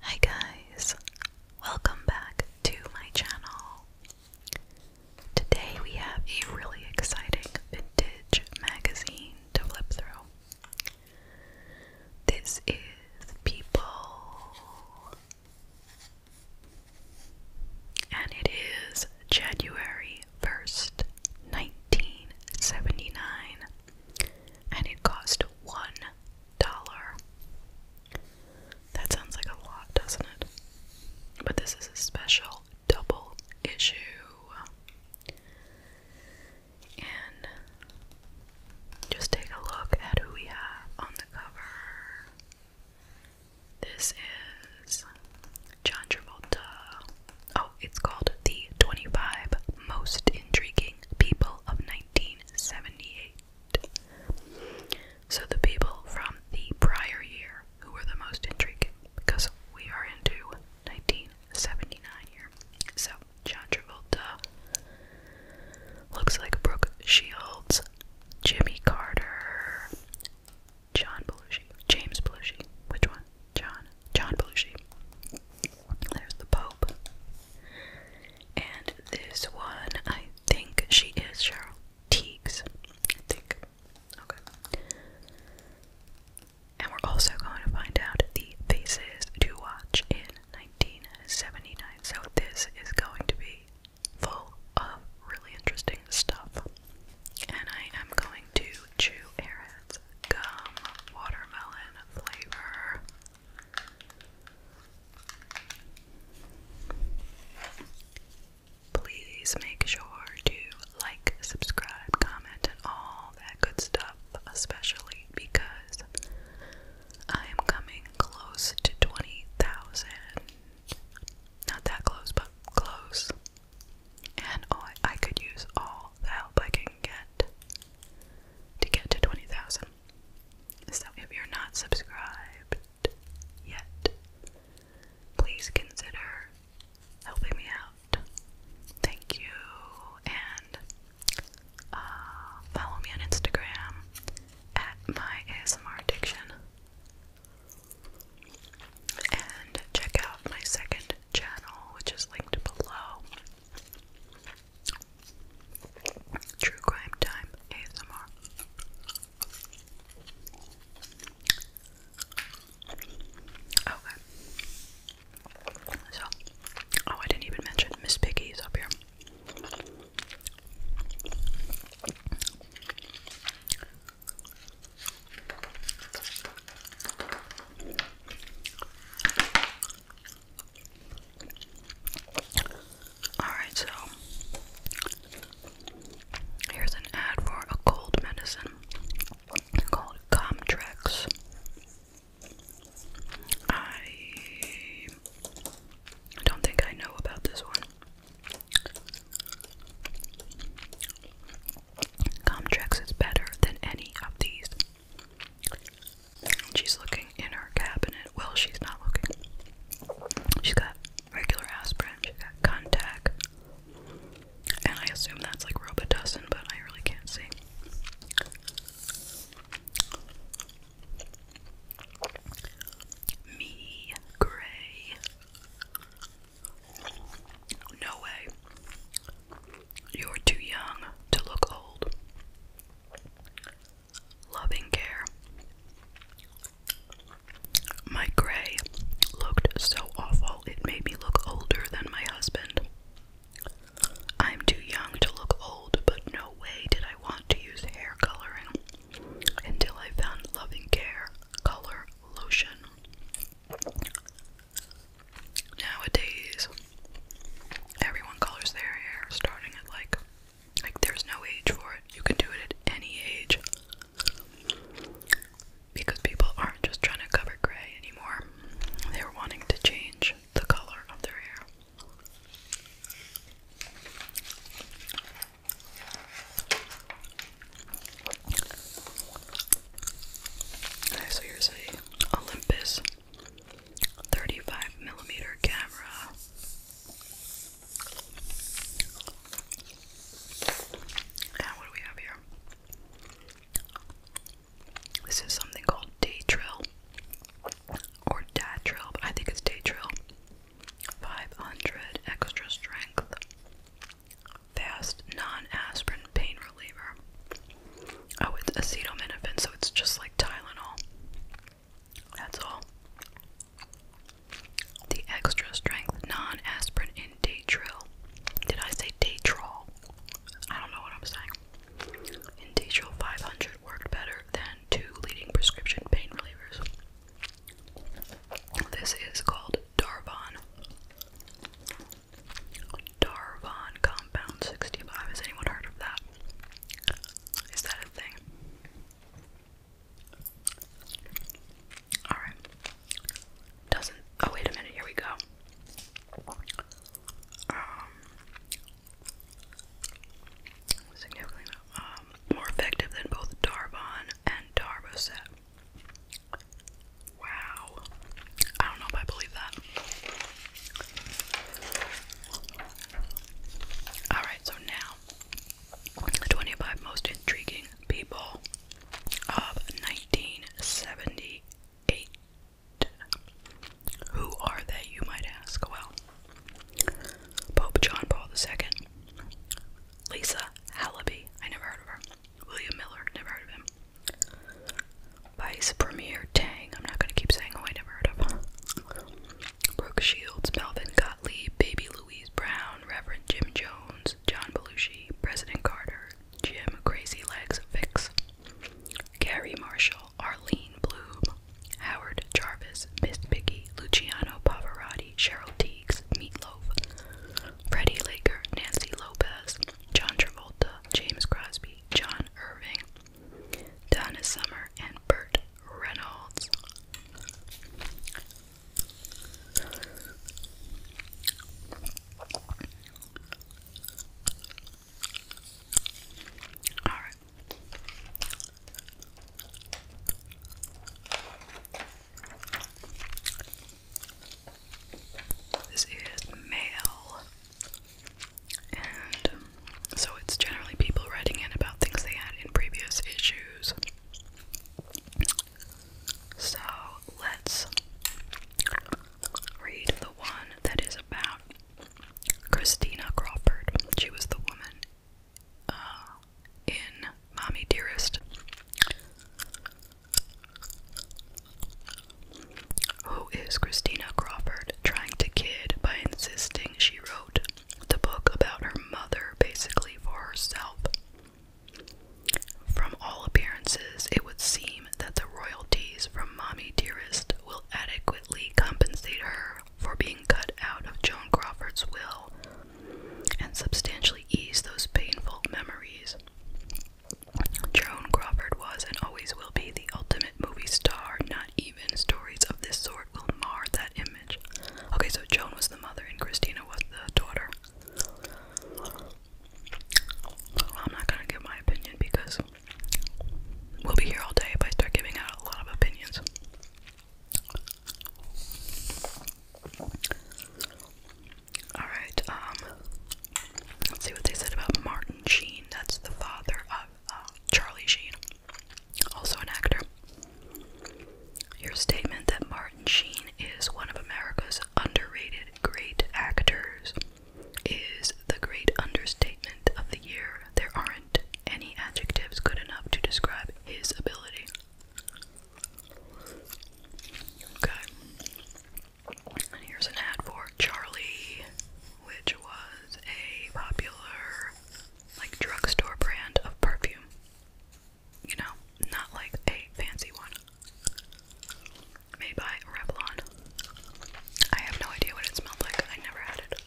Hi guys, welcome back to my channel. Today we have a really exciting vintage magazine to flip through. This is People, and it is January 1st, 1979 and it cost one dollar. That sounds like a lot, doesn't it? But this is a special double issue. And just take a look at who we have on the cover. This is John Travolta. Oh, it's called The 25 Most Intriguing People of 1978. So the people from the prior year who were the most intriguing, because we are into 1979 here. So John Travolta looks like Brooke Shields, Jimmy Carter, John Belushi, James Belushi. Which one? John. John Belushi. There's the Pope. And this one, I think she is Cheryl Teagues. I think. Okay. And we're also going to find out the faces to watch in 1979. So this is going to be full of really interesting stuff. And I am going to chew Airheads gum watermelon flavor. Please make sure to like, subscribe, comment, and all that good stuff, especially because I am coming close to 20,000. Not that close, but close. And oh, I could use all the help I can get to get to 20,000. So if you're not subscribed yet, please consider helping me out. Thank you, and uh, follow me on Instagram at my ASMR addiction. And check out my second channel, which is linked below. True Crime Time ASMR. Okay. So, oh, I didn't even mention Miss Piggy is up here. Alright, so here's an ad for a cold medicine called Comtrex. I don't think I know about this one. Comtrex is better than any of these. She's looking in her cabinet. Well, she's not looking. She's got regular aspirin, she's got contact. And I assume that's like Robitussin, but I really can't see. Me, Gray. No way. You're too young to look old loving care. My gray looked so awful, it made me look older than my husband. I'm too young to look old, but no way did I want to use hair coloring until I found Loving Care Color Lotion. Nowadays, Everyone colors their hair starting at like like there's no age for it. You can do it at any age. Because people aren't just trying to cover gray anymore. They're wanting to change the color of their hair. Okay, so here's a Olympus 35 millimeter camera. And what do we have here? This is something called Day Drill or Dad Drill, I think it's Day Drill. 500 extra strength, fast non aspirin pain reliever. Oh, it's acetaminophen, so it's just like Tylenol. That's all. The extra strength non aspirin in Daytrill. Did I say Daytrol? I don't know what I'm saying. In Daytrill 500 worked better than two leading prescription pain relievers. This is called Darvon. Darvon compound 65. Has anyone heard of that? Is that a thing? Alright. Doesn't. Oh, wait a minute. Here we go. Um, significantly um, more effective than both Darbon and Darboset. Wow. I don't know if I believe that. Alright, so now the 25 most intriguing people of 1978. Who are they, you might ask? Well, Pope John Paul II, Lisa Hallaby, I never heard of her, William Miller, never heard of him, Vice Premier Tang, I'm not going to keep saying who I never heard of. Brooke Shields, Melvin Gottlieb, Baby Louise Brown, Reverend Jim Jones, John Belushi, President Carter, Jim Crazy Legs Fix, Gary Marshall, Arlene Bloom, Howard Jarvis, Miss Piggy, Luciano Pavarotti, Cheryl Teagues, Meatloaf, Freddie Laker, Nancy Lopez, John Travolta, James Crosby, John Irving, Donna Summer, and Burt Reynolds. All right. This is mail. And um, so it's generally people writing in about things they had in previous issues. So let's read the one that is about Christina Crawford. She was the woman uh, in Mommy Dearest who is Christina Crawford trying to kid by insisting she wrote the book about her mother basically for herself. From all appearances, it would seem that the royalties from Mommy Dearest will adequately compensate her for being cut out of Joan Crawford's will and substantially ease those painful memories. Joan Crawford was and always will be the ultimate movie star, not even stories of this sort will mar that image. Okay, so Joan was the mother and Christina was the daughter. I'm not gonna give my opinion because we'll be here all day if I start giving out a lot of opinions. Alright, um, let's see what they said about Martin Sheen. That's the father of Charlie Sheen, also an actor. Your statement that Martin Sheen is one of America's underrated great actors is the great understatement of the year. There aren't any adjectives good enough to describe his ability. Okay. And here's an ad for Charlie, which a popular like drugstore brand of perfume. You know, not like a fancy one. Made by Revlon. I have no idea what it smelled like. I never had it.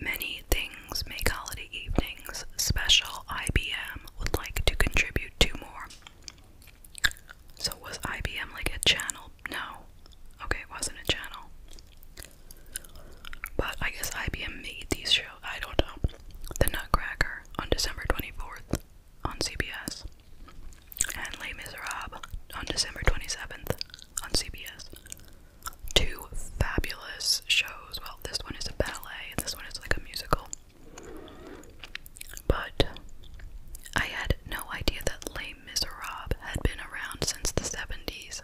Many things make holiday evenings special. IBM would like to contribute to more so was IBM like a channel? No. Okay, it wasn't a channel. But I guess IBM made these shows. I don't know. The Nutcracker on December 24th on CBS. And Les Miserables on December 27th on CBS. Two fabulous shows. Well, this one is a ballet and this one is like a musical. But I had no idea that Les Miserables had been around since the 70s.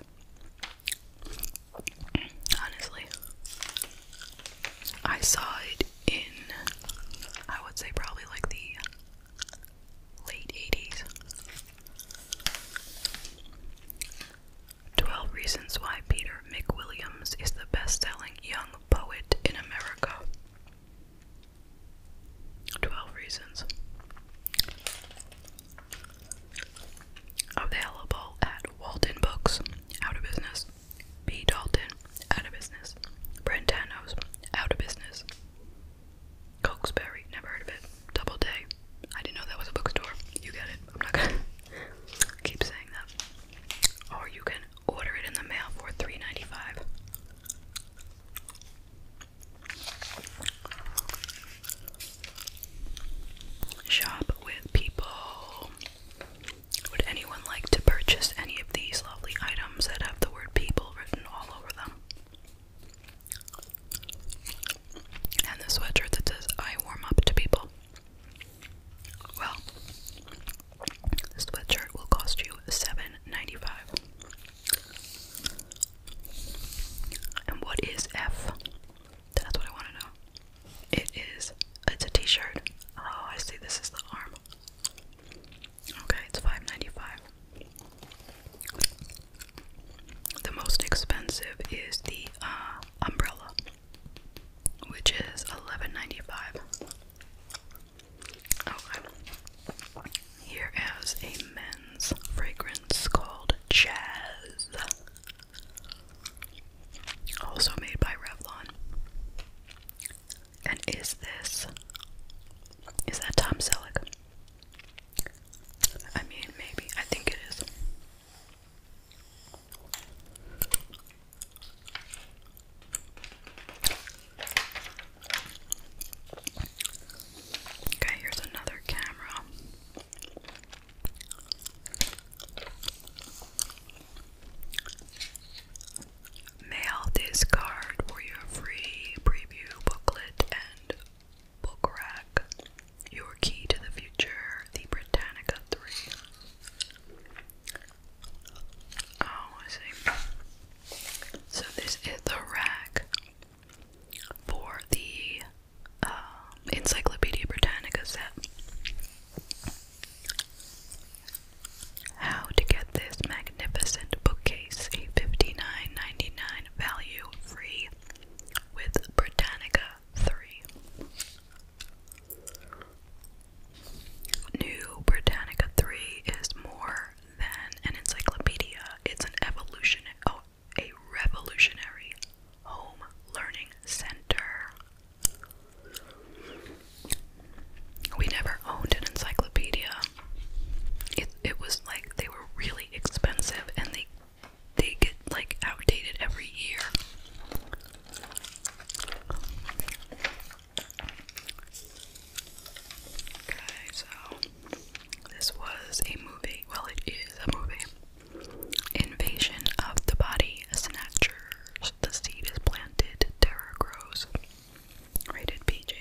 Honestly, I saw it in, I would say, probably like the late 80s. 12 Reasons Why Peter McWilliams is the best selling young poet in America. 12 Reasons. Available at Walden Books, out of business. B. Dalton, out of business. Brentano's, out of business. Cokesbury, never heard of it. Double I didn't know that was a bookstore. You get it. I'm not gonna keep saying that. Or you can order it in the mail for three ninety five. Shop with people. Would anyone like to purchase any of these lovely items that have the word people written all over them? And the sweater that says I warm up to people. Well, this sweatshirt will cost you seven ninety-five. dollars And what is F? That's what I want to know. It is, it's a t-shirt. Oh, I see, this is the arm. Okay, it's five ninety-five. dollars The most expensive is the uh, umbrella which is eleven ninety five. Okay. Here is a men's fragrance called Jazz. Also made by Revlon. And is this is that Tom Selleck? I mean maybe. I think it is. Okay, here's another camera. Mail this card for your free preview booklet and book rack. Your key to the future, the Britannica 3. Oh, so this is the rack for the um, Encyclopedia Britannica set. How to get this magnificent bookcase, a 59 value free with Britannica 3. New Britannica 3 is more than an encyclopedia, it's an evolution, oh, a revolutionary home learning center. We never owned an encyclopedia. It it was like they were really expensive and they they get like outdated every year. Okay, so this was a movie. Well, it is a movie. Invasion of the Body Snatchers. The seed is planted, terror grows. Rated PG.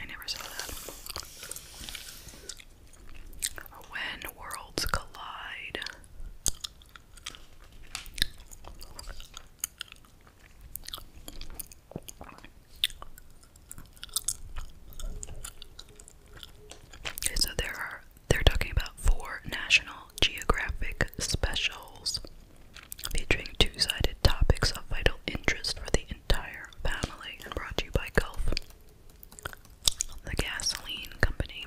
I never saw that. When Worlds Collide so there are they're talking about four National Geographic specials featuring two-sided topics of vital interest for the entire family and brought to you by Gulf, the gasoline company.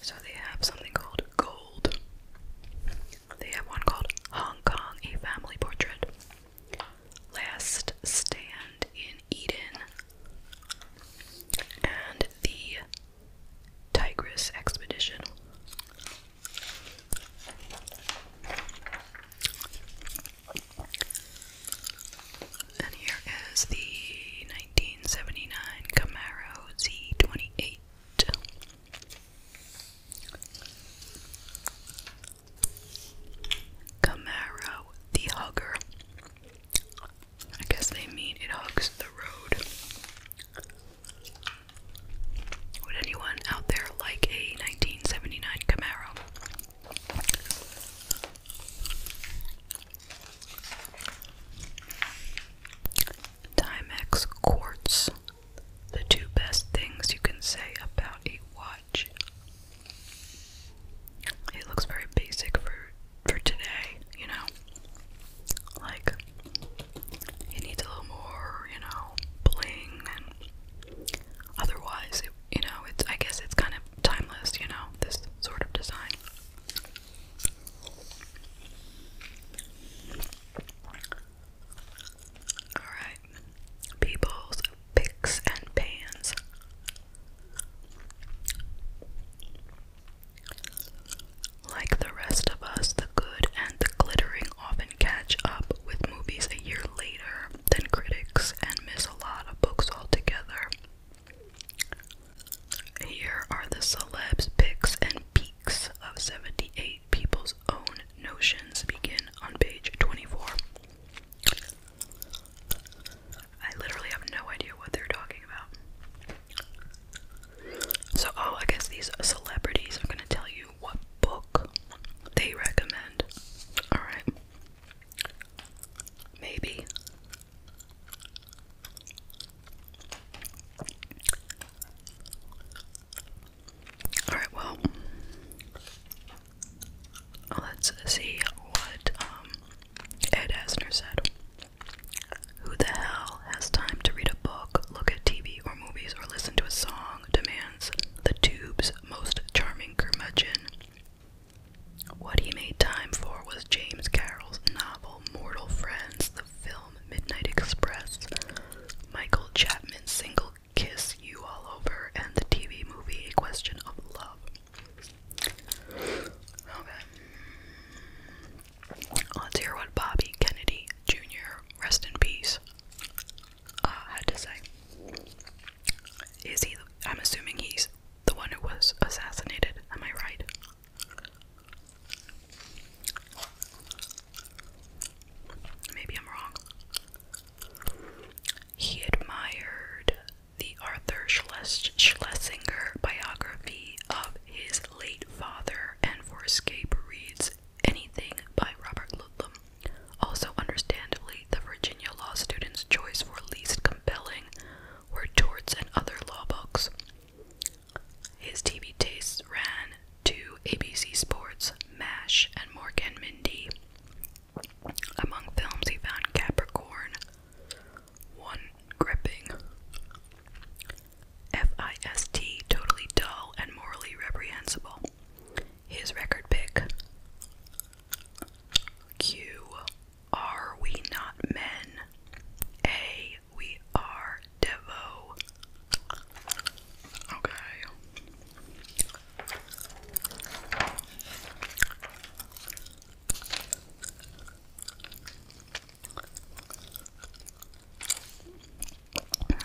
So they have something called Gold. They have one called Hong Kong, a family portrait. Last Stand in Eden. And the Tigris Expedition. And here is the 19 1979 Camaro Z28. Camaro the Hugger. I guess they mean it hugs the road. Would anyone out there like a 1979 Camaro? Timex quartz. The two best things you can say about a watch. It looks very basic for for today, you know. Like it needs a little more, you know, bling and otherwise it, you know, it's I guess it's kind of timeless, you know, this sort of design. Alright, people's picks and pans. Like the rest of us, the good and the glittering often catch up with movies a year later than critics and miss a lot of books altogether. Here are the celebs' picks and peaks of 78 people's own notions. Begin on page 24. I literally have no idea what they're talking about. So, oh, I guess these celebrities are going to tell you what book they recommend. Alright. Maybe Alright, well, let's see what um, Ed Asner said. Who the hell has time to read a book, look at TV or movies, or listen to a song? Demands the tube's most charming curmudgeon. What he made time for was James Carroll's novel Mortal Friends, the film Midnight Express, Michael Chapman's single Kiss You All Over, and the TV movie A Question of Love. Okay. Let's hear what Bobby Kennedy Jr., rest in peace, uh, had to say. Is he, I'm assuming he's the one who was assassinated, am I right? Maybe I'm wrong. He admired the Arthur Schlesinger biography of his late father and for escape reads Anything by Robert Ludlum. Also, understandably, the Virginia law students' choice for least compelling were Torts and other law books. His TV tastes ran to ABC Sports, MASH, and Morgan Mindy. Among films, he found Capricorn, One Gripping, FIST, Totally Dull and Morally Reprehensible. His record pick Q. Are We Not Men? A. We are Devo. Okay.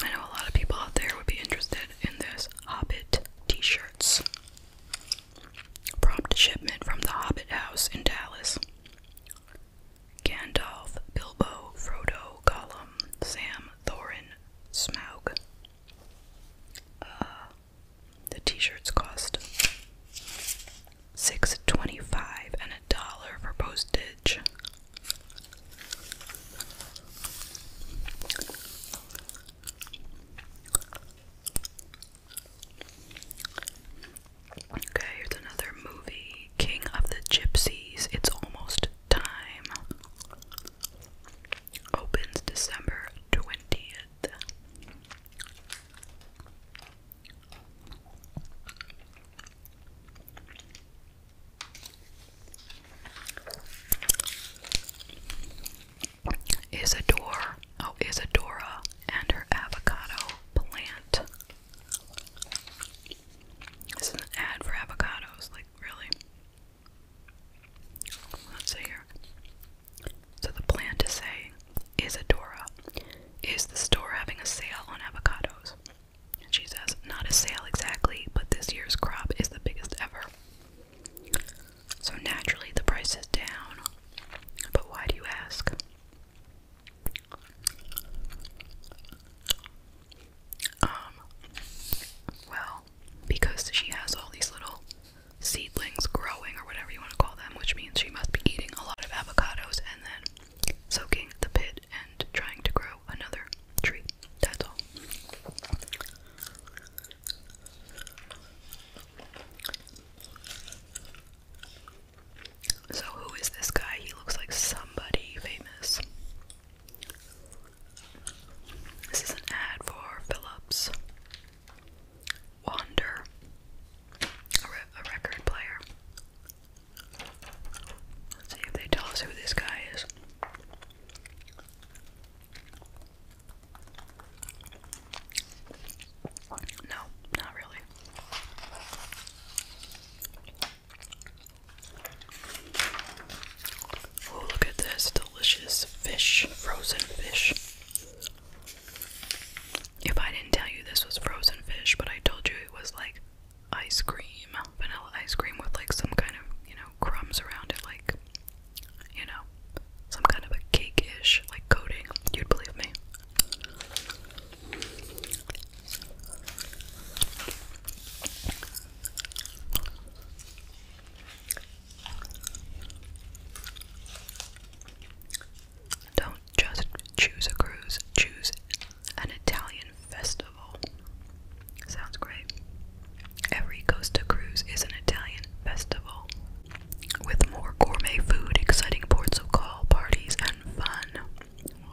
I know a lot of people out there would be interested in this Hobbit t shirts. Prompt shipment from the Hobbit House in Dallas. Gandalf, Bilbo, Frodo, Gollum, Sam, Thorin, Smaug. Uh, the t-shirts cost six twenty-five and a dollar for postage. Okay, here's another movie, King of the Gypsies. It's almost time. Opens December 20th. Isadora, oh Isadora and her avocado plant. This is an ad for avocados, like, really? Let's see here. So the plan to say is Adora. Is the store having a sale on avocados? she says, not a sale exactly, but this year's crop is the biggest ever. So naturally the price is down. But why do you ask? Um, well, because she has all these little seedlings growing, or whatever you want to call them, which means she must be eating a lot of avocados and then soaking the pit and trying to grow another tree. That's all. So, who is this guy? He looks like somebody famous. This is an ad for Philips Wander, a, record player. Let's see if they tell us who this guy is. No, not really. Oh, look at this delicious fish, frozen fish. If I didn't tell you this was frozen fish, but I told you it was like ice cream, vanilla ice cream with like some kind of, you know, crumbs around it, like, you know, some kind of a cake ish, like coating, you'd believe me. Don't just choose a cruise, choose an Italian festival. Sounds great. Every Costa cruise is an Italian festival with more gourmet food, exciting ports of call, parties, and fun.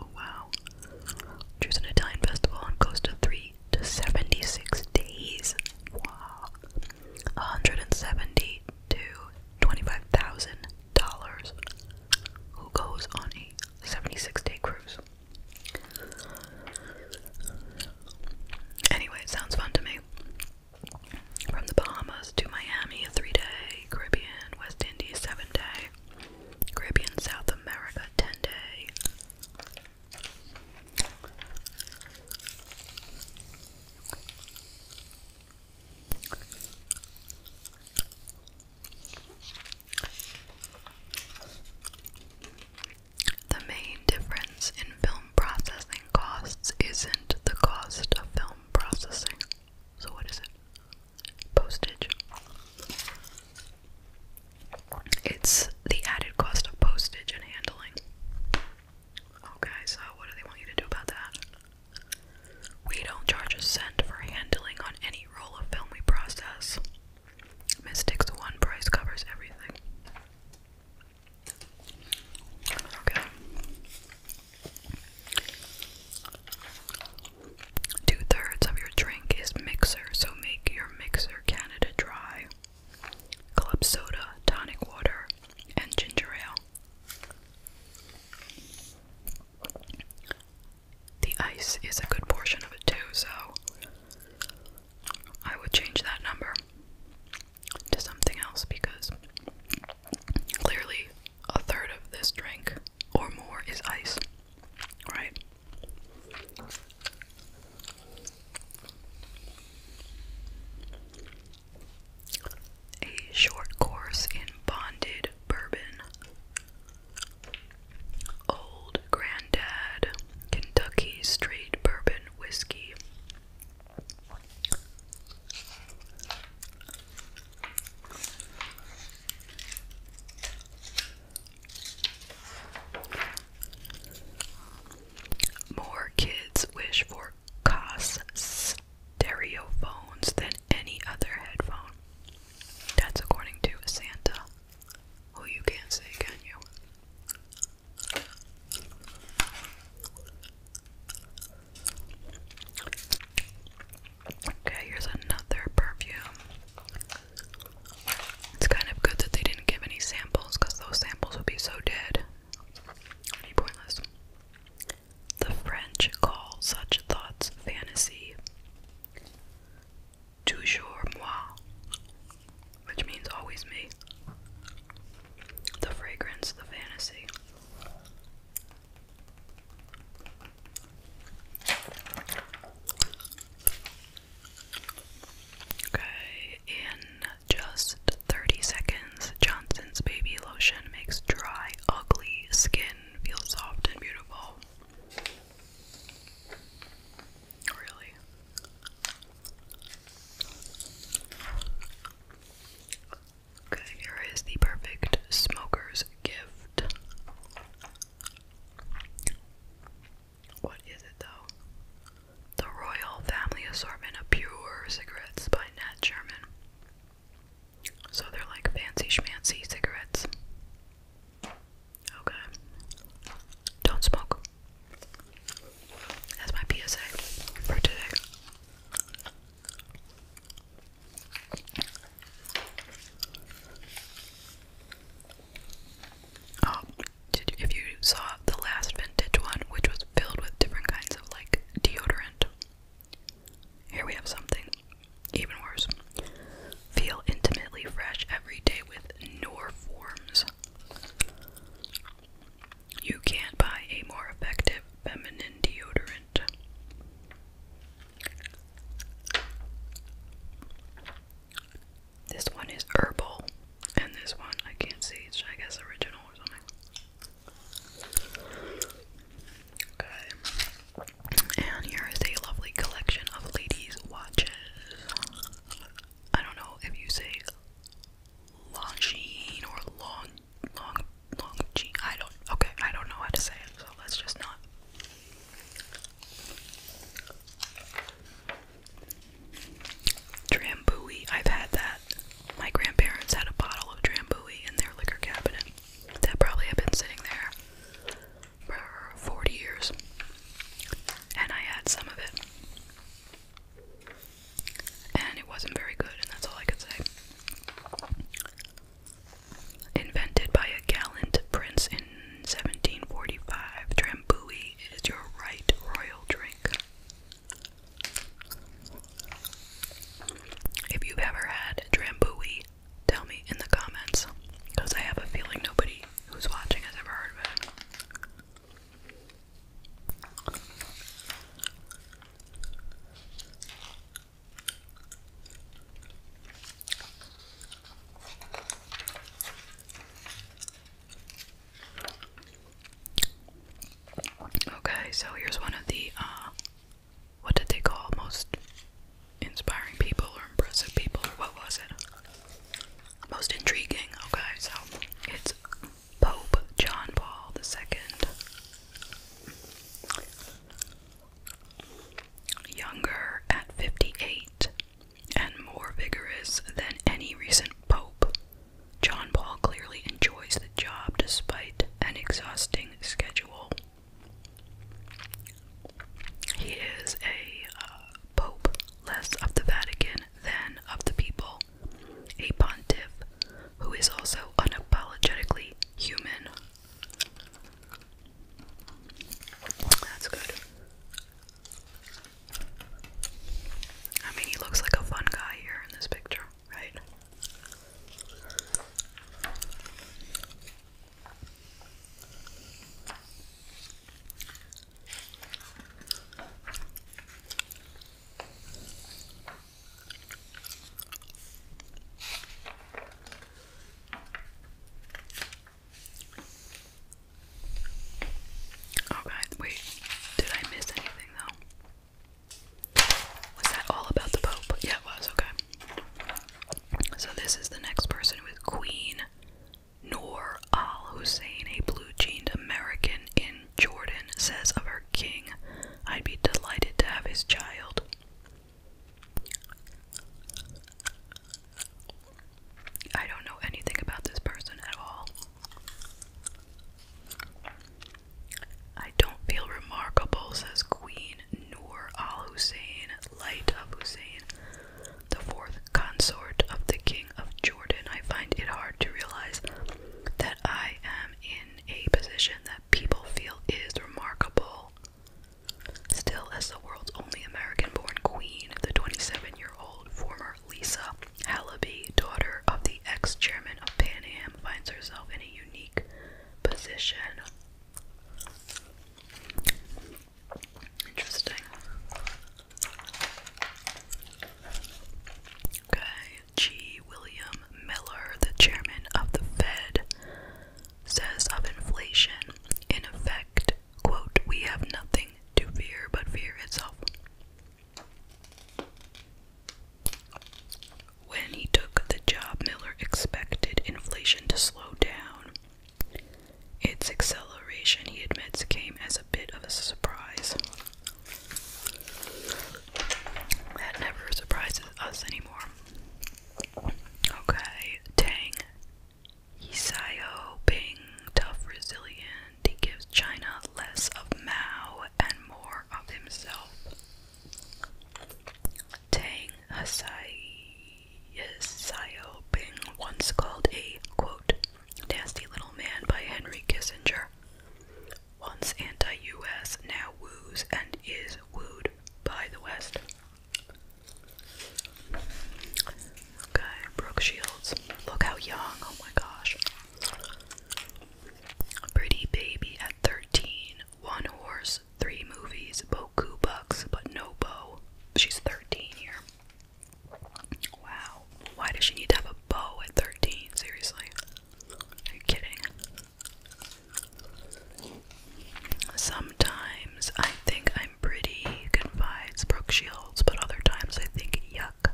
Oh wow. Choose an Italian festival on Costa 3 to 76 days. Wow. 170 to $25,000. Who goes on a 76 day cruise? Anyway, sounds fun to me. From the Bahamas, to Miami, three day, Caribbean, West Indies, seven day, Caribbean, South America, ten day. The main difference in film processing costs isn't the cost of film processing, so what is it? Postage. It's the added cost of postage and handling. Okay, so what do they want you to do about that? We don't charge a cent for handling on any roll of film we process. Mystic's one price covers everything. Okay. Two thirds of your drink is mixer, so make your mixer Canada dry. Club soda, tonic water, and ginger ale. The ice is a good portion of it too, so I would change that number to something else because Clearly, a third of this drink or more is ice, right? A short course in bonded bourbon. Old Grandad Kentucky Straight Bourbon Whiskey. More kids wish for COS stereo phones than any other headphone. That's according to Santa, who you can't say, can you? Okay, here's another perfume. It's kind of good that they didn't give any samples because those samples would be so dead. be pointless. The French call such thoughts fantasy. Toujours moi, which means always me. The fragrance, the fantasy. Okay, in just 30 seconds, Johnson's Baby Lotion makes dry, ugly skin feel soft and beautiful. Really? Okay, here is the perfect smoker's gift. What is it though? The Royal Family Assortment of Pure Cigarettes by Nat Sherman. So they're like fancy schmancy cigarettes. Okay. Don't smoke. That's my PSA for today. Um, if you saw the last vintage one, which was filled with different kinds of like deodorant, here we have something even worse. Feel intimately fresh every day with Nor Forms. You can't buy a more effective feminine deodorant. This one is herbal, and this one I can't see. I guess original or something. Okay, and here is a lovely collection of ladies' watches. I don't know if you say Longines or long long long G. I don't. Okay, I don't know how to say it, so let's just not. Drambuie. I've had that. My grandparents had a bottle of Drambuie in their liquor cabinet. That probably had been sitting there for 40 years. And I had some of it. And it wasn't very good, and that's all I could say. Invented by a gallant prince in 1745, Drambuie is your right royal drink. If you've ever had Drambuie, tell me in the comments, because I have a feeling nobody who's watching has ever heard of it. Okay, so here's one of the uh, what did they call most inspiring people or impressive people what was it? Most intriguing. Okay, so it's Pope John Paul II younger at 58 and more vigorous than any recent pope. John Paul clearly enjoys the job despite an exhausting schedule. He is a uh, pope less of the Vatican than of the people, a pontiff who is also unapologetically human. That's good. I mean, he looks like a fun guy here in this picture, right? Okay, oh, wait, did I miss anything though? Was that all about the Pope? Yeah, it was, okay. So this is the next person with Queen Noor Al Hussein, a blue jeaned American in Jordan, says of her king, I'd be delighted to have his child. I don't know anything about this person at all. I don't feel remarkable, says Queen Noor al Hussein, Light of Hussein, the fourth consort of the King of Jordan. I find it hard to realize that I am in a position that people feel is remarkable Still, as the world's only American born queen, the 27 year old former Lisa Halaby, daughter of the ex chairman of Pan Am, finds herself in a unique position. Interesting. Okay, G. William Miller, the chairman of the Fed, says of inflation, in effect, quote, we have nothing to fear but fear itself. When he took the job, Miller expected inflation to slow down. Its acceleration, he admits, came as a bit of a surprise. That never surprises us anymore. Okay, Tang. Yisayo tough, resilient, he gives China less of Mao and more of himself. Tang Hisayo once called a quote nasty little man by Henry Kissinger. Once anti US, now woos and is wooed by the West. Okay, Brooke Shields. Look how young. Oh my gosh. Pretty baby at 13. One horse, three movies, boku but no bow. She's 13 here. Wow. Why does she need to have a bow at 13? Seriously. Are you kidding? Sometimes I think I'm pretty, confides Brooke Shields, but other times I think yuck.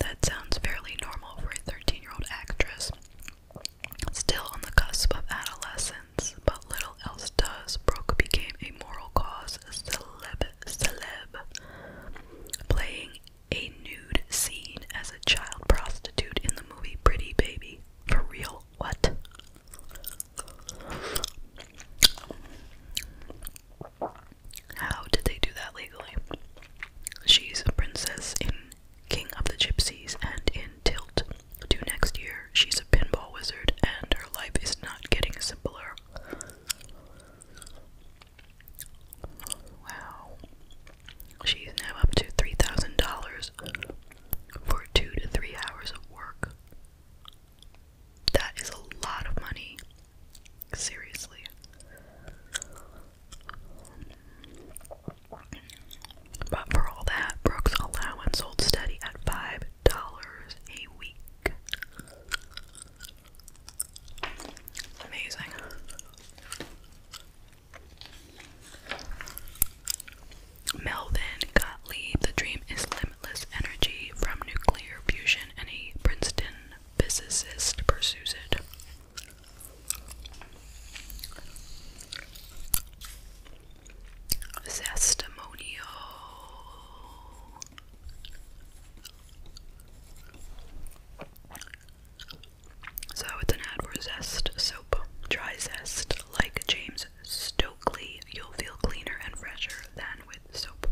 That sounds fairly normal for a 13 year old actress. Still on the cusp of adolescence, but little else does. Brooke became a moral cause celeb, celeb, playing a nude scene as a child prostitute in the movie Pretty Baby. For real what? How did they do that legally? She's a princess in King of the Gypsies and in Tilt. To next year, she's a pinball wizard and her life is not getting simpler. Wow. She's now up to $3,000 for two to three hours of work. That is a lot of money. Seriously. But for all that, Brooks' allowance holds steady at $5 a week. Amazing. Melvin Gottlieb, The Dream is Limitless Energy from Nuclear Fusion, Any Princeton physicist pursues it. Testimonial. So it's an ad for Zest soap, dry zest, like James Stokely. You'll feel cleaner and fresher than with soap,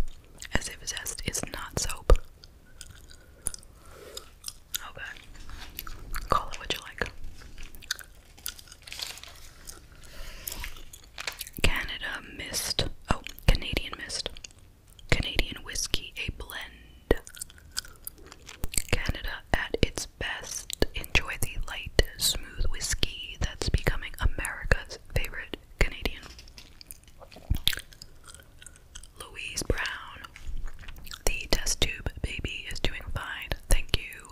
as if zest is not soap. Okay, call it what you like. Canada Mist. Oh, Canadian Mist. Canadian Whiskey, a blend. Canada at its best. Enjoy the light, smooth whiskey that's becoming America's favorite Canadian. Louise Brown. The test tube baby is doing fine, thank you.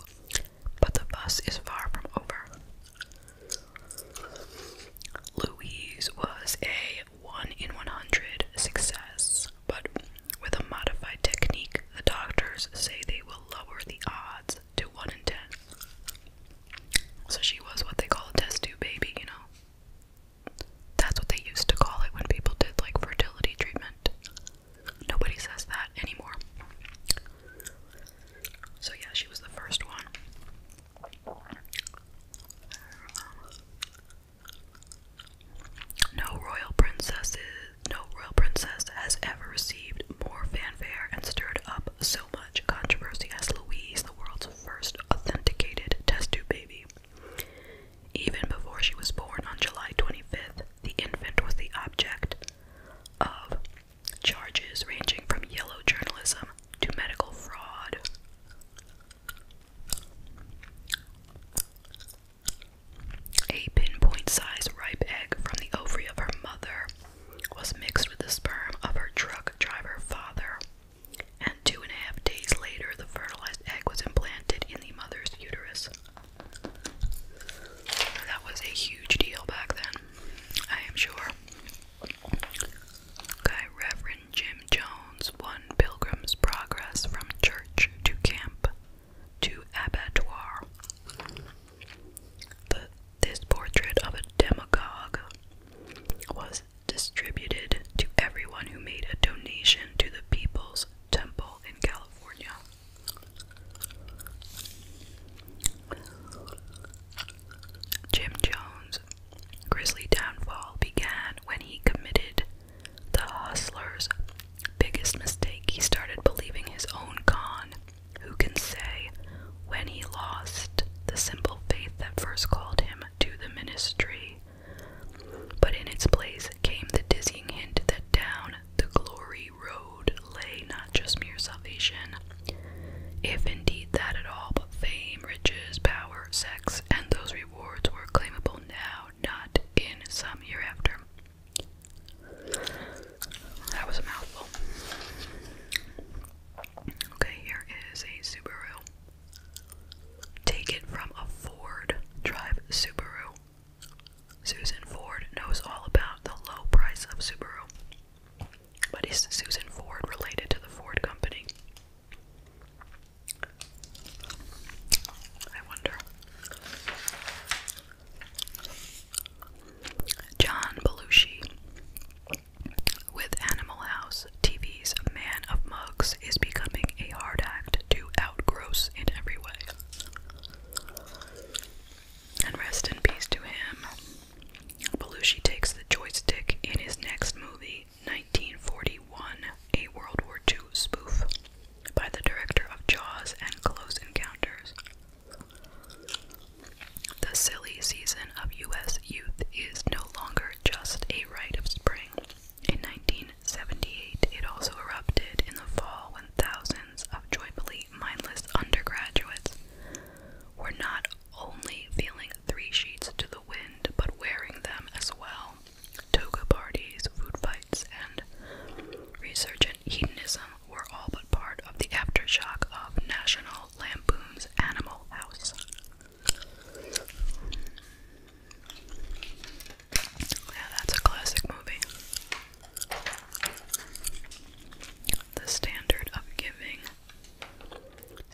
But the bus is far from over. Louise was a 1 in 100 success, but with a modified technique, the doctors say they will lower the odds to 1 in 10. So she was what they call a test tube baby, you know? That's what they used to call it when people did like fertility treatment. Nobody says that anymore. So, yeah, she was the first one. No royal princesses, no royal princess has ever received more fanfare and stirred up so much controversy as Louise, the world's first authenticated test tube baby. Even before she was born on July 25th, the infant was the object of charges ranging from yellow journalism to medical fraud. A pinpoint sized ripe egg from the ovary of her mother was mixed with the sperm of her truck driver father, and two and a half days later, the fertilized egg was implanted in the mother's uterus. That was a huge deal back then, I am sure. Okay, Reverend Jim Jones won Pilgrim's Progress from church to camp to abattoir. The, this portrait of a demagogue was distributed to everyone who made a donation to the People's Temple in California. Jim Jones' grisly downfall began when he committed the hostler's biggest mistake, he started believing his own con. Who can say when he lost the simple faith that first called him to the ministry? But in its place came the dizzying hint that down the glory road lay not just mere salvation, if indeed that at all, but fame, riches, power, sex, and those rewards were claimable now, not in some hereafter. That was a mouthful. Okay, here is a Subaru. Taken from a Ford Drive Subaru. Susan Ford knows all about the low price of Subaru. But is Susan Ford related to the Ford company? I wonder. John Belushi with Animal House TV's Man of Mugs is becoming a hard act to outgross in every way. And rest in peace to him. Belushi takes the joystick in his next movie, 1941, a World War II spoof by the director of Jaws and Close Encounters. The silly season of U.S. youth is no longer just a rite of spring. In 1978, it also erupted in the fall when thousands of joyfully mindless undergraduates were not only feeling three sheets to the wind, but wearing them as well. Toga parties, food fights, rights and resurgent hedonism were all but part of the aftershock of National Lampoon's Animal House. Yeah, that's a classic movie. The standard of giving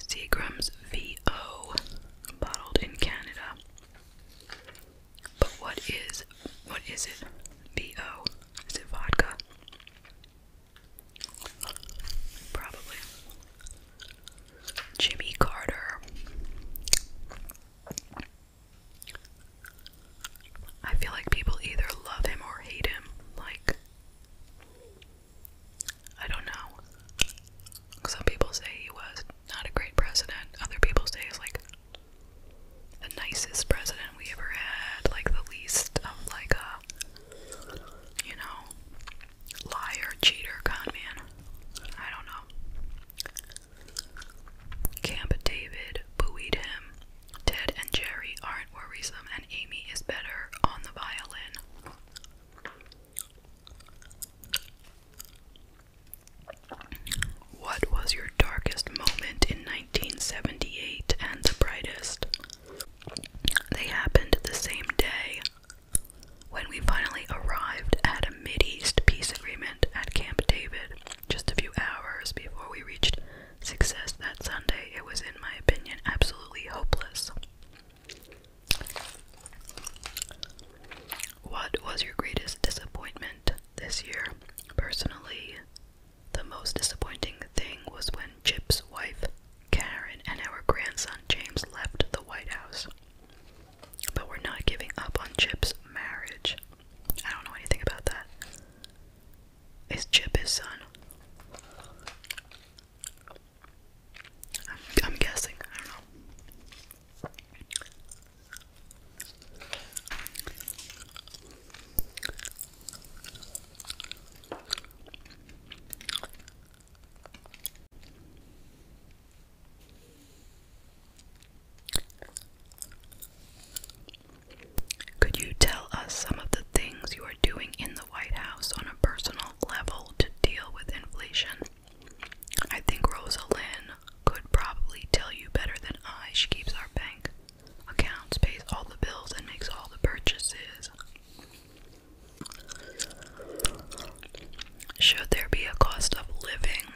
Seagram's VO, bottled in Canada, but what is what is it? BO. Is it vodka? Probably. Jimmy Carter. I feel like people either love him or hate him. Like, I don't know. Some people say he was not a great president, other people say he's like the nicest president we ever had, like the least of like a you know liar, cheater, con man. I don't know. Camp David booed him. Ted and Jerry aren't worrisome, and Amy is better on the violin. What was your darkest moment in 1978 and the brightest? They happened the same day when we finally arrived at a Mideast peace agreement at Camp David. Just a few hours before we reached success that Sunday, it was, in my opinion, absolutely hopeless. What was your greatest disappointment? this year. Personally, the most disappointing thing was when Chip's wife, Karen, and our grandson James left the White House. But we're not giving up on Chip's marriage. I don't know anything about that. Is Chip his son? I'm, guessing. I don't know. Could you tell us some of the things you are doing in the White House on a personal level to deal with inflation? I think Rosalind could probably tell you better than I. She keeps our bank accounts, pays all the bills, and makes all the purchases. Should there be a cost of living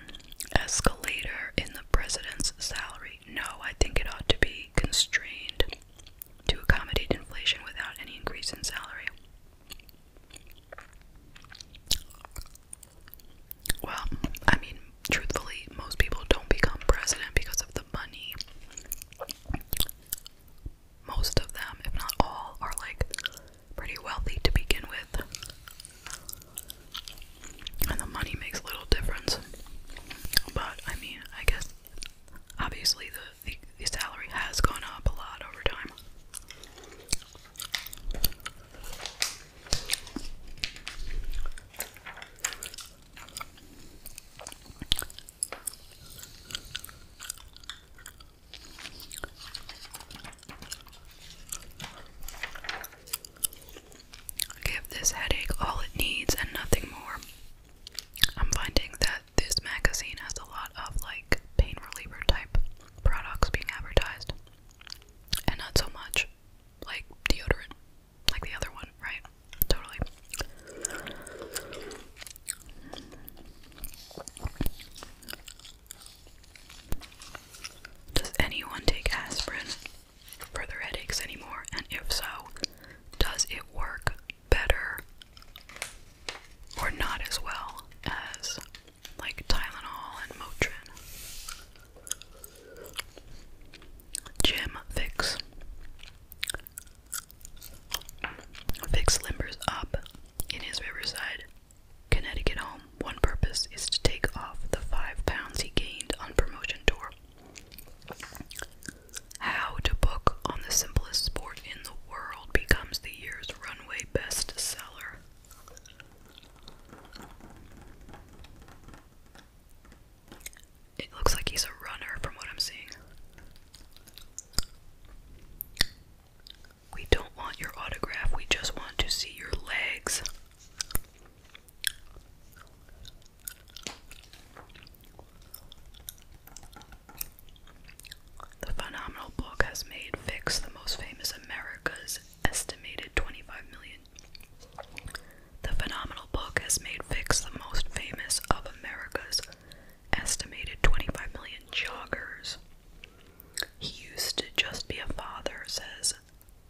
escalator in the president's salary? No, I think it ought to be constrained to accommodate inflation without any increase in salary. Well, I mean, truthfully, most people don't become president because of the money. Most of them, if not all, are like pretty wealthy to begin with. And the money makes little difference. But I mean, I guess obviously the, the, the salary has gone up a lot over time. Give this headache all it needs and nothing more. I'm finding that this magazine has a lot of like pain reliever type products being advertised, and not so much like deodorant, like the other one, right? Totally. Does anyone take aspirin for their headaches anymore? And if so, does it work better or not as well as like Tylenol and Motrin? Jim Fix. Fix limbers up in his Riverside, Connecticut home. One purpose is to take off the five pounds he gained on promotion tour. How to book on the simplest sport in the world becomes the year's runway bestseller. It looks like he's a runner from what I'm seeing. We don't want your autograph, we just want to see your legs. The phenomenal book has made Fix the most famous America's estimated 25 million the phenomenal book has made Fix the most famous of America's estimated 25 million joggers. He used to just be a father, says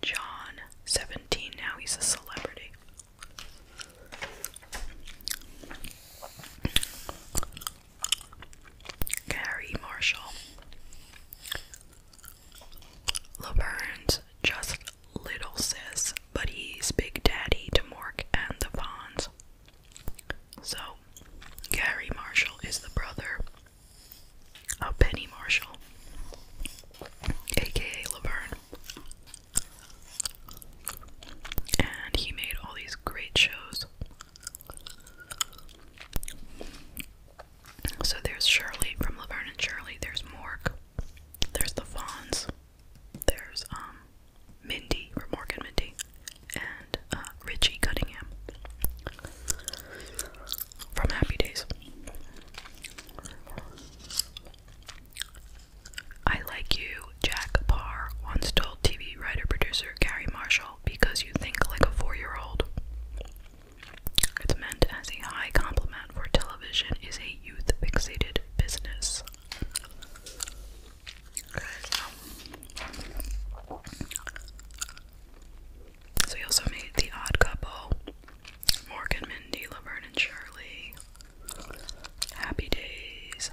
John, 17. Now he's a celebrity. Gary Marshall. Laverne's just little sis, but he's big daddy to Mork and the Vaughns. So, Gary Marshall is the brother of Penny Marshall, aka Laverne. And he made all these great shows. So there's Shirley from Laverne and Shirley, there's Morg, there's the Fonz. there's um Mindy or Morgan Mindy, and uh, Richie Cunningham from Happy Days. I like you, Jack Parr once told TV writer producer Gary Marshall, because you think like a four year old. It's meant as a high compliment for television is a youth fixated business. Okay, so. so he also made The Odd Couple, Morgan, Mindy, Laverne, and Shirley, Happy Days.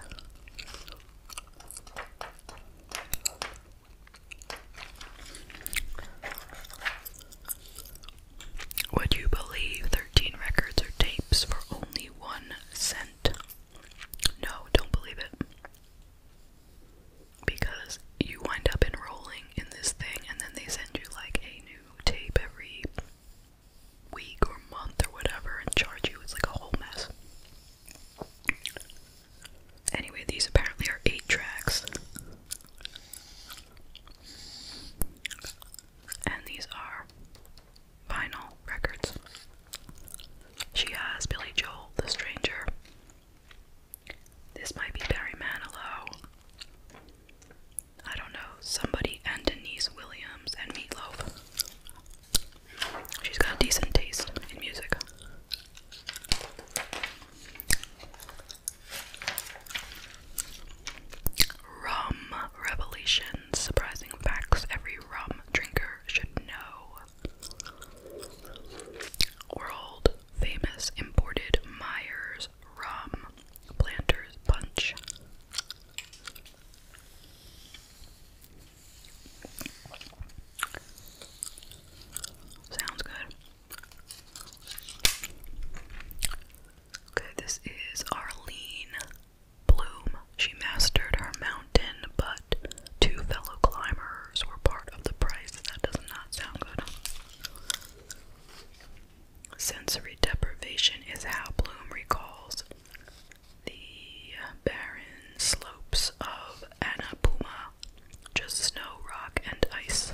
Would you believe 13 records or tapes for only one cent? No, don't believe it. Because you wind up enrolling in this thing and then they send you like a new tape every week or month or whatever and charge you. It's like a whole mess. Anyway, these apparently are eight tracks. And these are vinyl records. She has Billy Joel, The Stranger. This might be Barry Manilow. I don't know. Somebody and Denise Williams and Meatloaf. She's got decent taste in music. Rum revelations. Surprising facts every rum drinker should know. World famous imported Myers rum planters punch. Sounds good. Okay, this is Arlene Bloom. She mastered her mountain, but two fellow climbers were part of the price. That does not sound good. Sensory deprivation is how Bloom recalls the barren slopes of Annapuma, just snow, rock, and ice.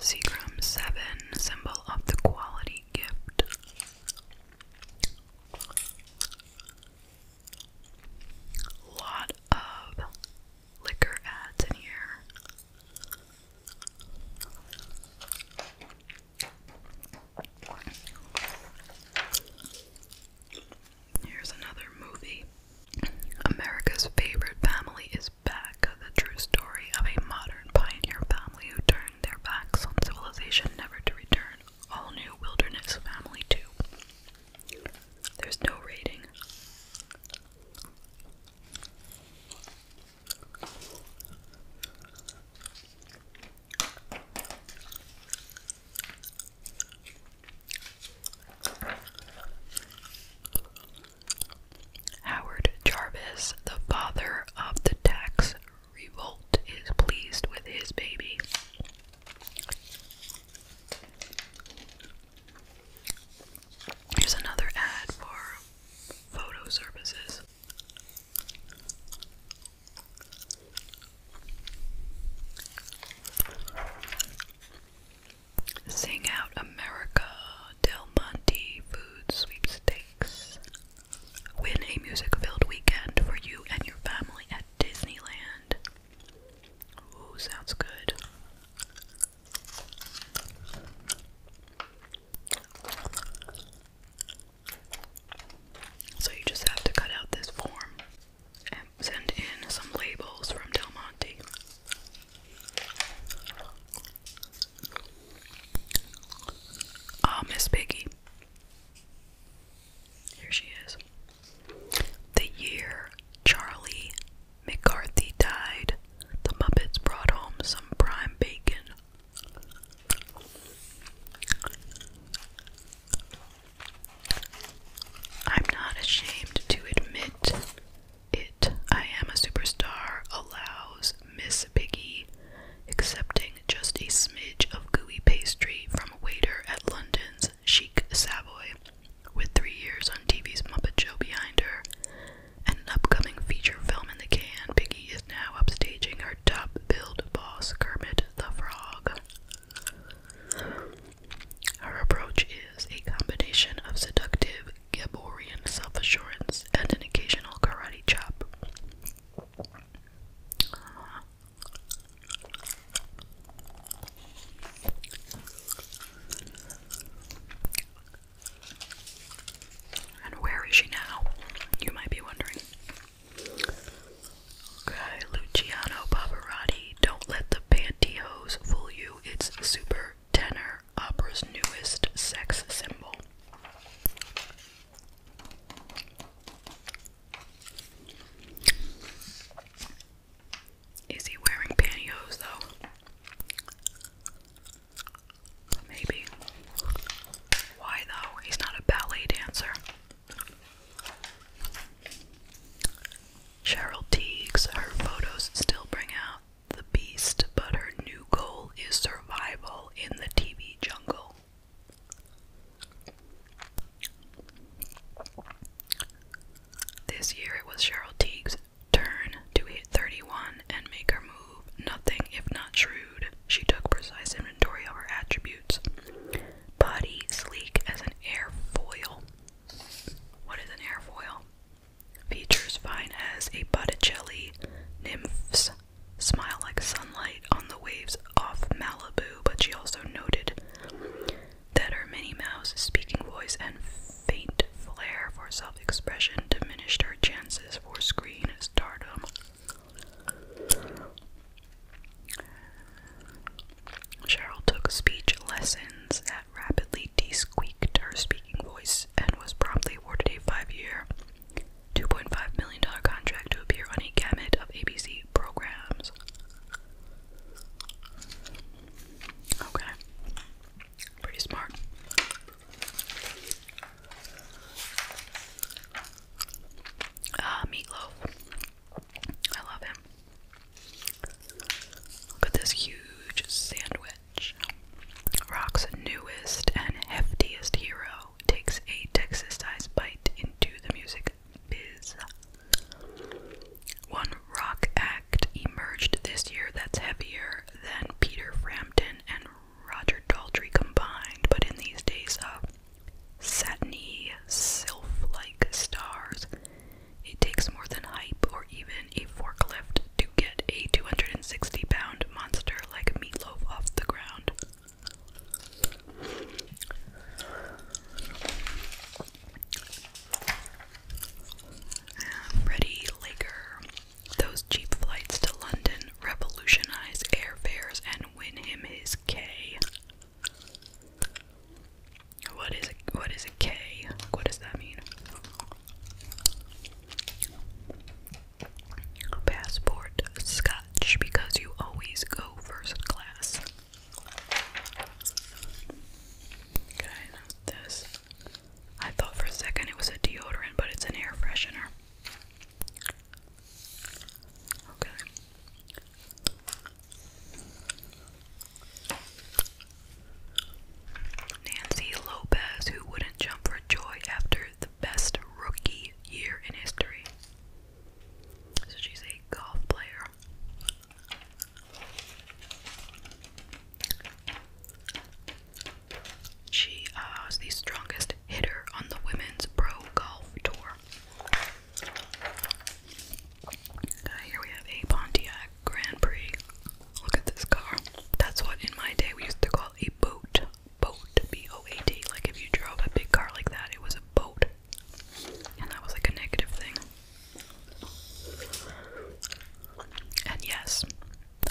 Seagram 7, symbol of the quality gift. Lot of liquor ads in here. Here's another movie. America's favorite family is back, the true story of a modern pioneer family who turned their backs on civilization never to return. All new wilderness family too. There's no rating. Howard Jarvis, the father of the tax revolt, is pleased with his baby. Here's another ad for photo services. Sing Out America Del Monte Food Sweepstakes. Win a music filled weekend for you and your family at Disneyland. Ooh, sounds good. So you just have to cut out this form and send in some labels from Del Monte. Ah, Miss Piggy. Here she is. The year Charlie McCarthy died, the Muppets brought home some prime bacon. I'm not ashamed to admit it. I am a superstar, allows Miss Piggy, accepting just a smidge of gooey pastry from a waiter at London's Chic Savoy. With three years on TV's Muppet Show behind her and an upcoming feature film in the can, Piggy is now upstaging her top billed boss, Kermit the Frog. Her approach is a combination of seductive Gaborian self assurance and an occasional karate chop. and where is she now? You might be wondering. Okay, Luciano Pavarotti, Don't Let the Pantyhose Fool You. It's super tenor opera's newest sex symbol. Is he wearing pantyhose though? Maybe. Why though? He's not a ballet dancer. Cheryl Teagues, her photos still bring out the beast, but her new goal is survival in the TV jungle. This year it was Cheryl Teague's turn to hit 31 and make her move. Nothing if not shrewd, she took precise inventory of her attributes. Body sleek as an airfoil, what is an airfoil? Features fine as a jelly. nymphs smile like sunlight on the waves off Malibu, but she also noted that her Minnie Mouse speaking voice and faint flair for self expression diminished her chances for screen stardom. Cheryl took speech lessons that rapidly desqueaked her speaking voice and was promptly awarded a five-year, $2.5 million contract to appear on a gamut of ABC programs. Okay. Pretty smart. Uh, meatloaf. I love him. Look at this huge sandwich. Rock's newest and heftiest hero takes a Texas-sized bite into the music biz. One rock act emerged this year that's heavier than Peter Frampton and Roger Daltrey combined, but in these days of satiny, sylph-like stars, it takes more than hype or even a forklift to get a 260 pound monster like Meatloaf off the ground. Freddie Laker. Those cheap flights to London revolutionize airfares and win him his K. What is it? what is a K? what does that mean? Passport Scotch because you always go first class. Okay, not this. I thought for a second it was a deodorant, but it's an air freshener. Okay. Nancy Lopez, who wouldn't jump for joy after the best rookie year in history. So she's a golf player. She uh, is the strongest hitter on the women's pro golf tour here we have a Pontiac Grand Prix. Look at this car. That's what in my day we used to call a boat. Boat, B-O-A-T. Like if you drove a big car like that, it was a boat. And that was like a negative thing. And yes,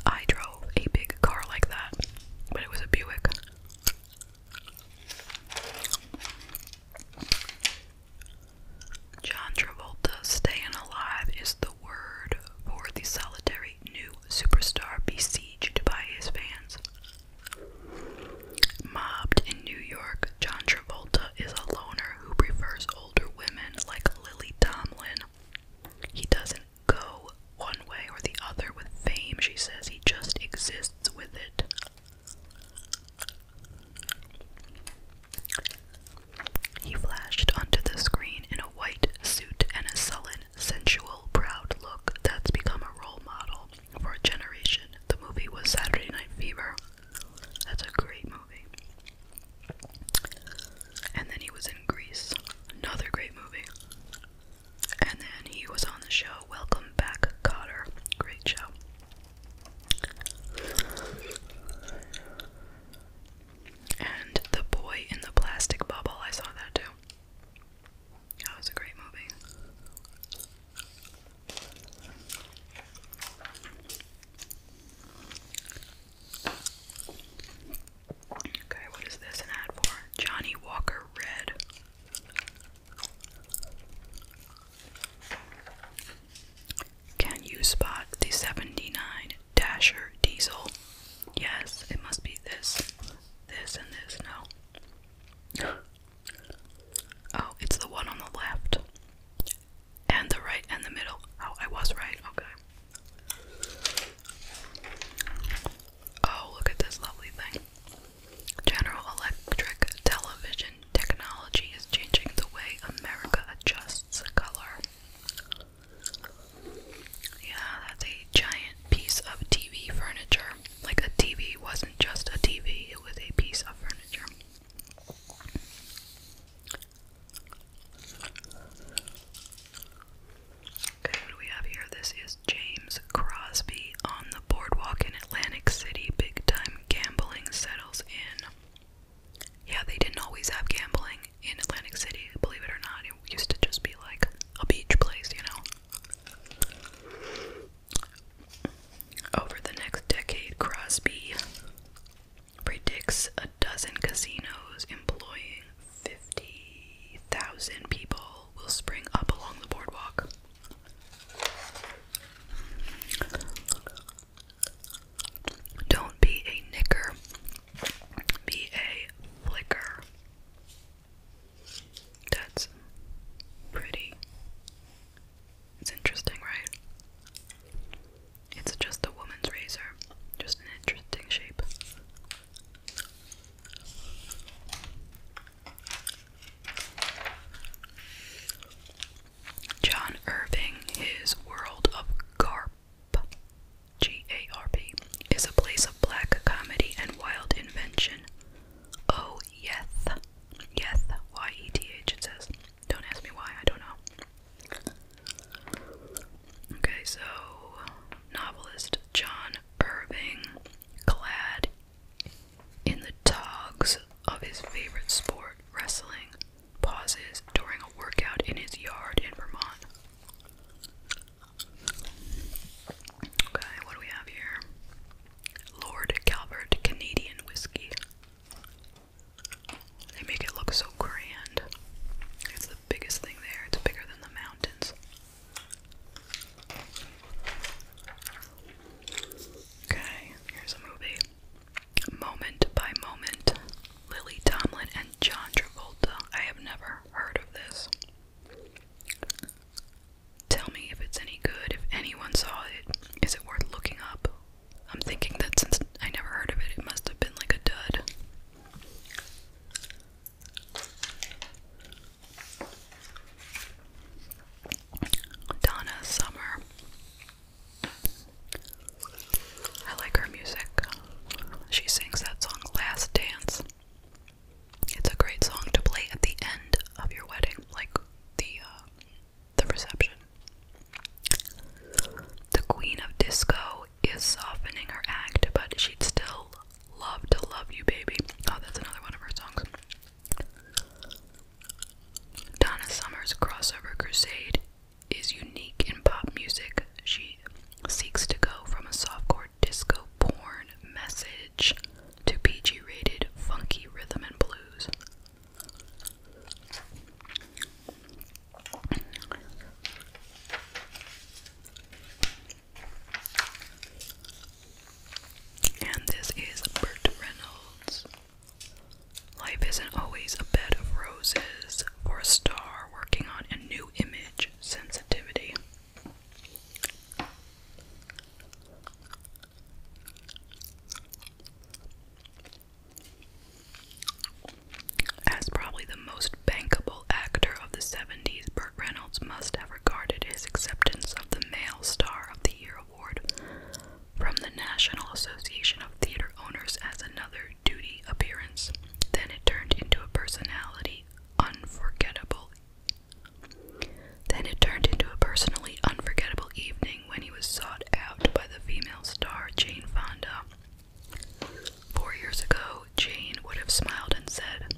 I drove a big car like that, but it was a Buick. John Travolta staying alive is the word for the solitary new superstar besieged by his fans. Mobbed in New York, John Travolta is a loner who prefers older women like Lily Tomlin. He doesn't go one way or the other with fame, she says, he just exists with it. He flashed onto the screen in a white suit and a sullen, sensual, proud look that's become a role model for a generation. The movie was Saturday Night Fever. That's a great movie. And then he was in Greece. Another great movie. And then he was on the show Welcome Back, Cotter. Great show. And The Boy in the Plastic Bubble, I saw that too. That was a great movie. Okay, what is this an ad for? Johnny Walker Red. Can you spot the 79 Dasher diesel? Yes, it must be this, this, and this. No. Oh, it's the one on the left. And the right and the middle. Oh, I was right. Okay. Oh, look at this lovely thing. General Electric television Technology is changing the way America adjusts color. Yeah, that's a giant piece of TV furniture. Like a TV wasn't just a TV, it was a piece of furniture. Okay, what do we have here? This is James Crosby on the boardwalk in Atlantic City. Big time gambling settles in. Yeah, they didn't always have gambling in Atlantic City, believe it or not. It used to just be like a beach place, you know. Over the next decade, Crosby predicts a dozen casinos employing 50,000 people will spring up along the boardwalk. Don't be a knicker, be a flicker. That's pretty. It's interesting, right? It's just a woman's razor, just an interesting shape. John Irving, his world of garp, G A R P, is a place of black comedy and wild invention. Oh, yeth, yeth, Y E T H, it says. Don't ask me why, I don't know. Okay, so novelist John Irving, clad in the togs of his favorite sport, wrestling, pauses during a workout in his yard in Vermont. Okay, what do we have here? Lord Calvert Canadian Whiskey. They make it look so grand. It's the biggest thing there, it's bigger than the mountains. Okay, here's a movie. Moment by Moment, Lily Tomlin and John Travolta. I have never heard of this. Tell me if it's any good, if anyone saw it. Is it worth looking up? I'm thinking that since I never heard of it, it must have been like a dud. Donna Summer. I like her music. She sings that song Last Dance. It's a great song to play at the end of your wedding, like the uh, the reception. The queen of disco is softening her act, but she'd still love to love you, baby. Oh, that's another one of her songs. Donna Summer's crossover crusade is unique in pop music. She seeks to go from a softcore disco porn message to PG rated funky rhythm and blues. And this is Burt Reynolds. Life isn't always a bed of roses for a star working on a new image sensitivity. As probably the most bankable actor of the 70s, Burt Reynolds must have regarded his acceptance of the male star of the year Award from the National Association of Theater Owners as another duty appearance. Then it turned into a personality unforgettable. Then it turned into a personally unforgettable evening when he was sought out by the female star Jane Fonda. Four years ago, Jane would have smiled and said,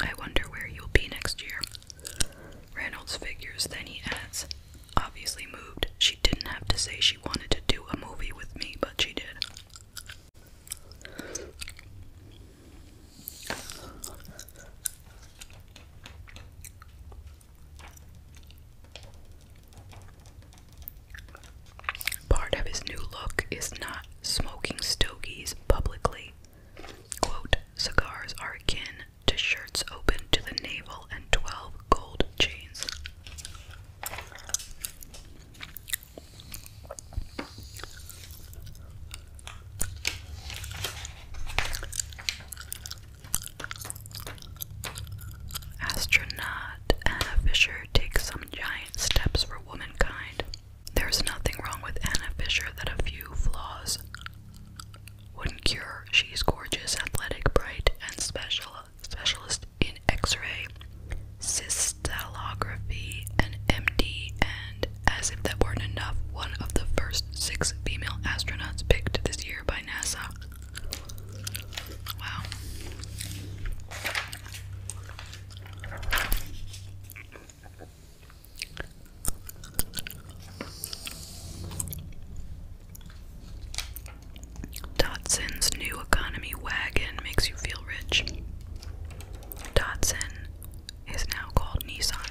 I wonder where you'll be next year. Reynolds figures, then he adds, obviously moved. She didn't have to say she wanted to do a movie with me, but she did. Part of his new look is not smoking stogies publicly. Quote, cigars are akin to shirts open to the navel and 12 gold chains. Astronaut Anna Fisher takes some giant steps for womankind. There's nothing wrong with Anna Fisher that a few flaws wouldn't cure. She's gorgeous, athletic, bright, and special specialist in X-ray, crystallography, and MD. And as if that weren't enough, one of the first six female astronauts picked this year by NASA. Wow. Dotson's new economy wagon makes you feel rich. Dotson is now called Nissan.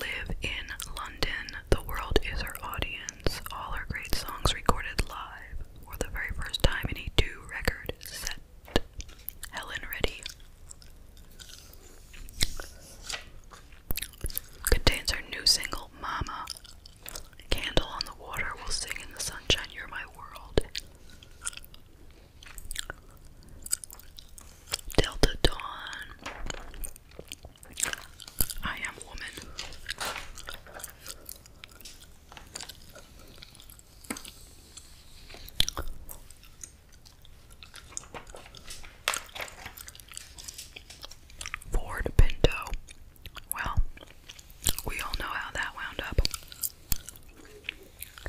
Live in London. The world is our audience. All our great songs recorded live for the very first time in a two record set. Helen ready. Contains our new single, Mama. Candle on the water will sing in the sunshine, you're my world. Delta Dawn. I am woman. Ford Pinto. Well, we all know how that wound up.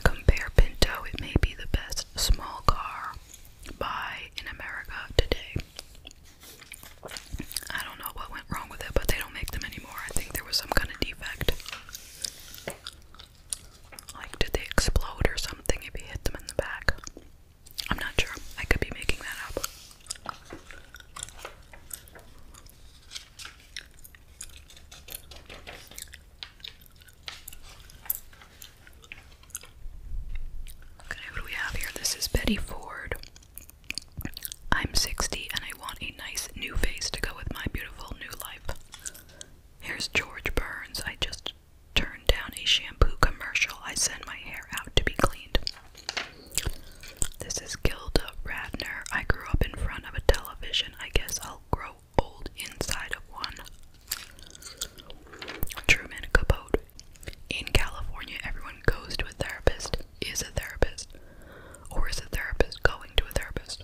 Compare Pinto, it may be the best small car by in America today. I don't know what went wrong with it, but they don't make them anymore. I think there was some kind of defect. Like, did they explode or something if you hit them in the back? I'm not sure. I could be making that up. Okay, what do we have here? This is Betty Ford. I'm 60 and I want a nice new face to go with my beautiful new life. Here's George Burns. I just turned down a shampoo commercial. I send my hair out to be cleaned. This is Gilda Radner. I grew up in front of a television. I guess I'll grow old inside of one. Truman Capote. In California, everyone goes to a therapist, is a therapist, or is a therapist going to a therapist.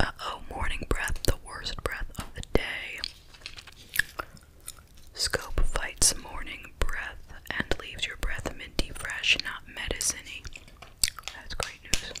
Uh oh, morning breath, the worst breath of the day. Scope fights morning breath and leaves your breath minty fresh, not medicine that's great news.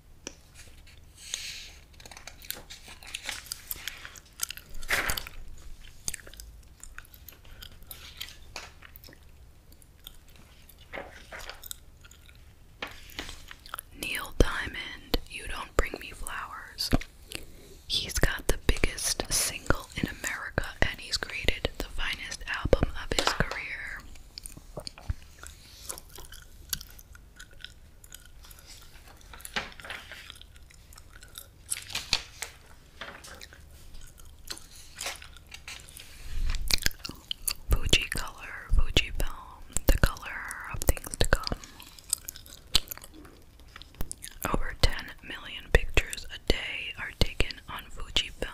Neil Diamond, You Don't Bring Me Flowers. He's got the biggest single in America and he's created the finest album of his career. Fuji color, Fuji film, the color of things to come. Over 10 million pictures a day are taken on Fuji film.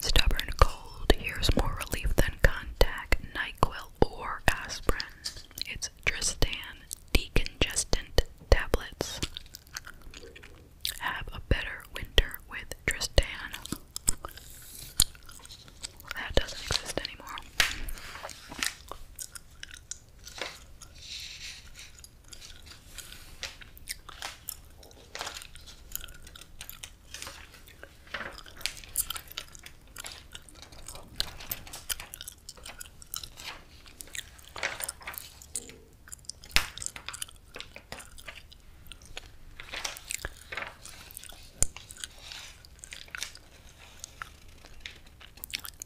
Stubborn cold. Here's more relief than contact, NyQuil, or aspirin. It's Tristan decongestant tablets. Have a better winter with Tristan. That doesn't exist anymore.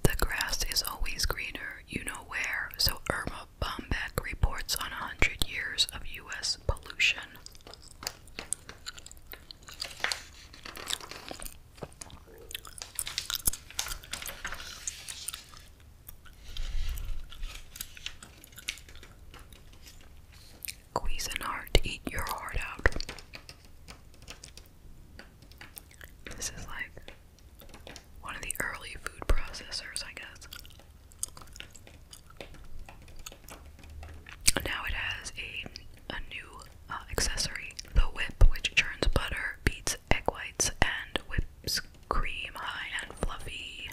The grass is always greener, you know where, so Irma Bombeck reports on 100 years of U.S. pollution. Cuisinart, eat your heart out. This is like one of the early food processors, I guess. Now it has a, a new uh, accessory, the whip, which turns butter, beats egg whites, and whips cream high and fluffy.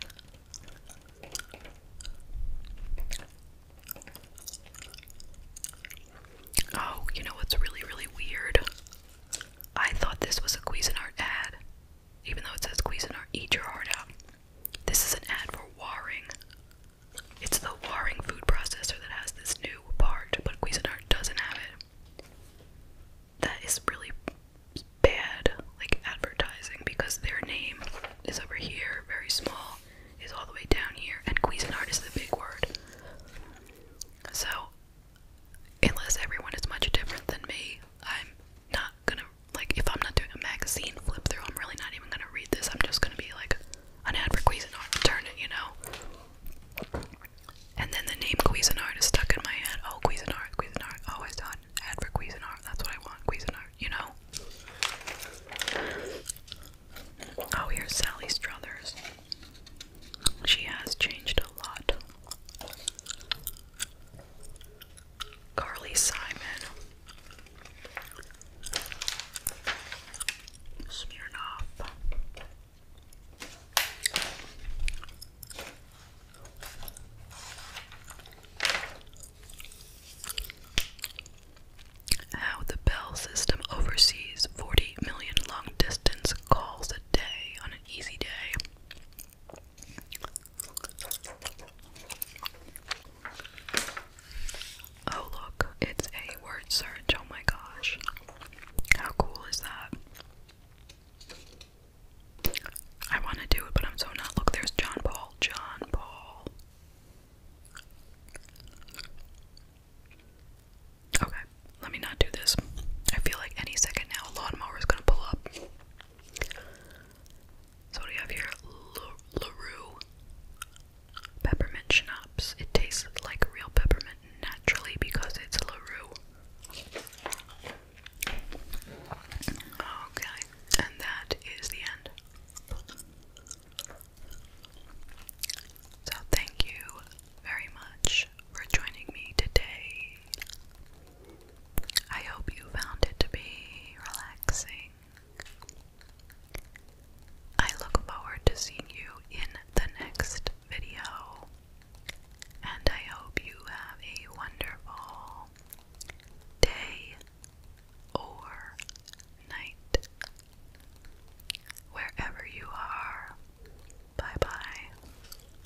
Oh, you know what's really, really weird? I thought this was a Cuisinart ad, even though it says Cuisinart, eat your heart out. This is an ad for Waring. It's the Waring food processor that has this new part, but Cuisinart doesn't have it. That is really bad, like advertising, because their name is over here, very small, is all the way down here, and Cuisinart is the big word. So, unless everyone is much different than me, I'm not gonna like if I'm not doing a magazine flip through, I'm really not even gonna read this. I'm just gonna be like an ad for Cuisinart, turn it, you know. And then the name Cuisinart is stuck in my head. Oh, Cuisinart, Cuisinart. Oh, I saw That's what I want, Cuisinart, you know. Oh, here's Sally Struthers. She has changed a lot. Carly Simon, Smirnoff. How the Bell system oversees 40 million long distance calls a day on an easy day. Oh, look, it's a word search. Oh my gosh. How cool is that? I want to do it, but I'm so not. Look, there's John Paul. John Paul. Okay, let me not do this. I feel like any second now a lawnmower is going to pull up. So what have here? LaRue peppermint schnapps. It tastes like real peppermint naturally because it's LaRue. Okay, and that is the end. So thank you very much for joining me today. I hope you found it to be relaxing. I look forward to seeing you in the next video, and I hope you have a wonderful day or night wherever you are. Bye bye.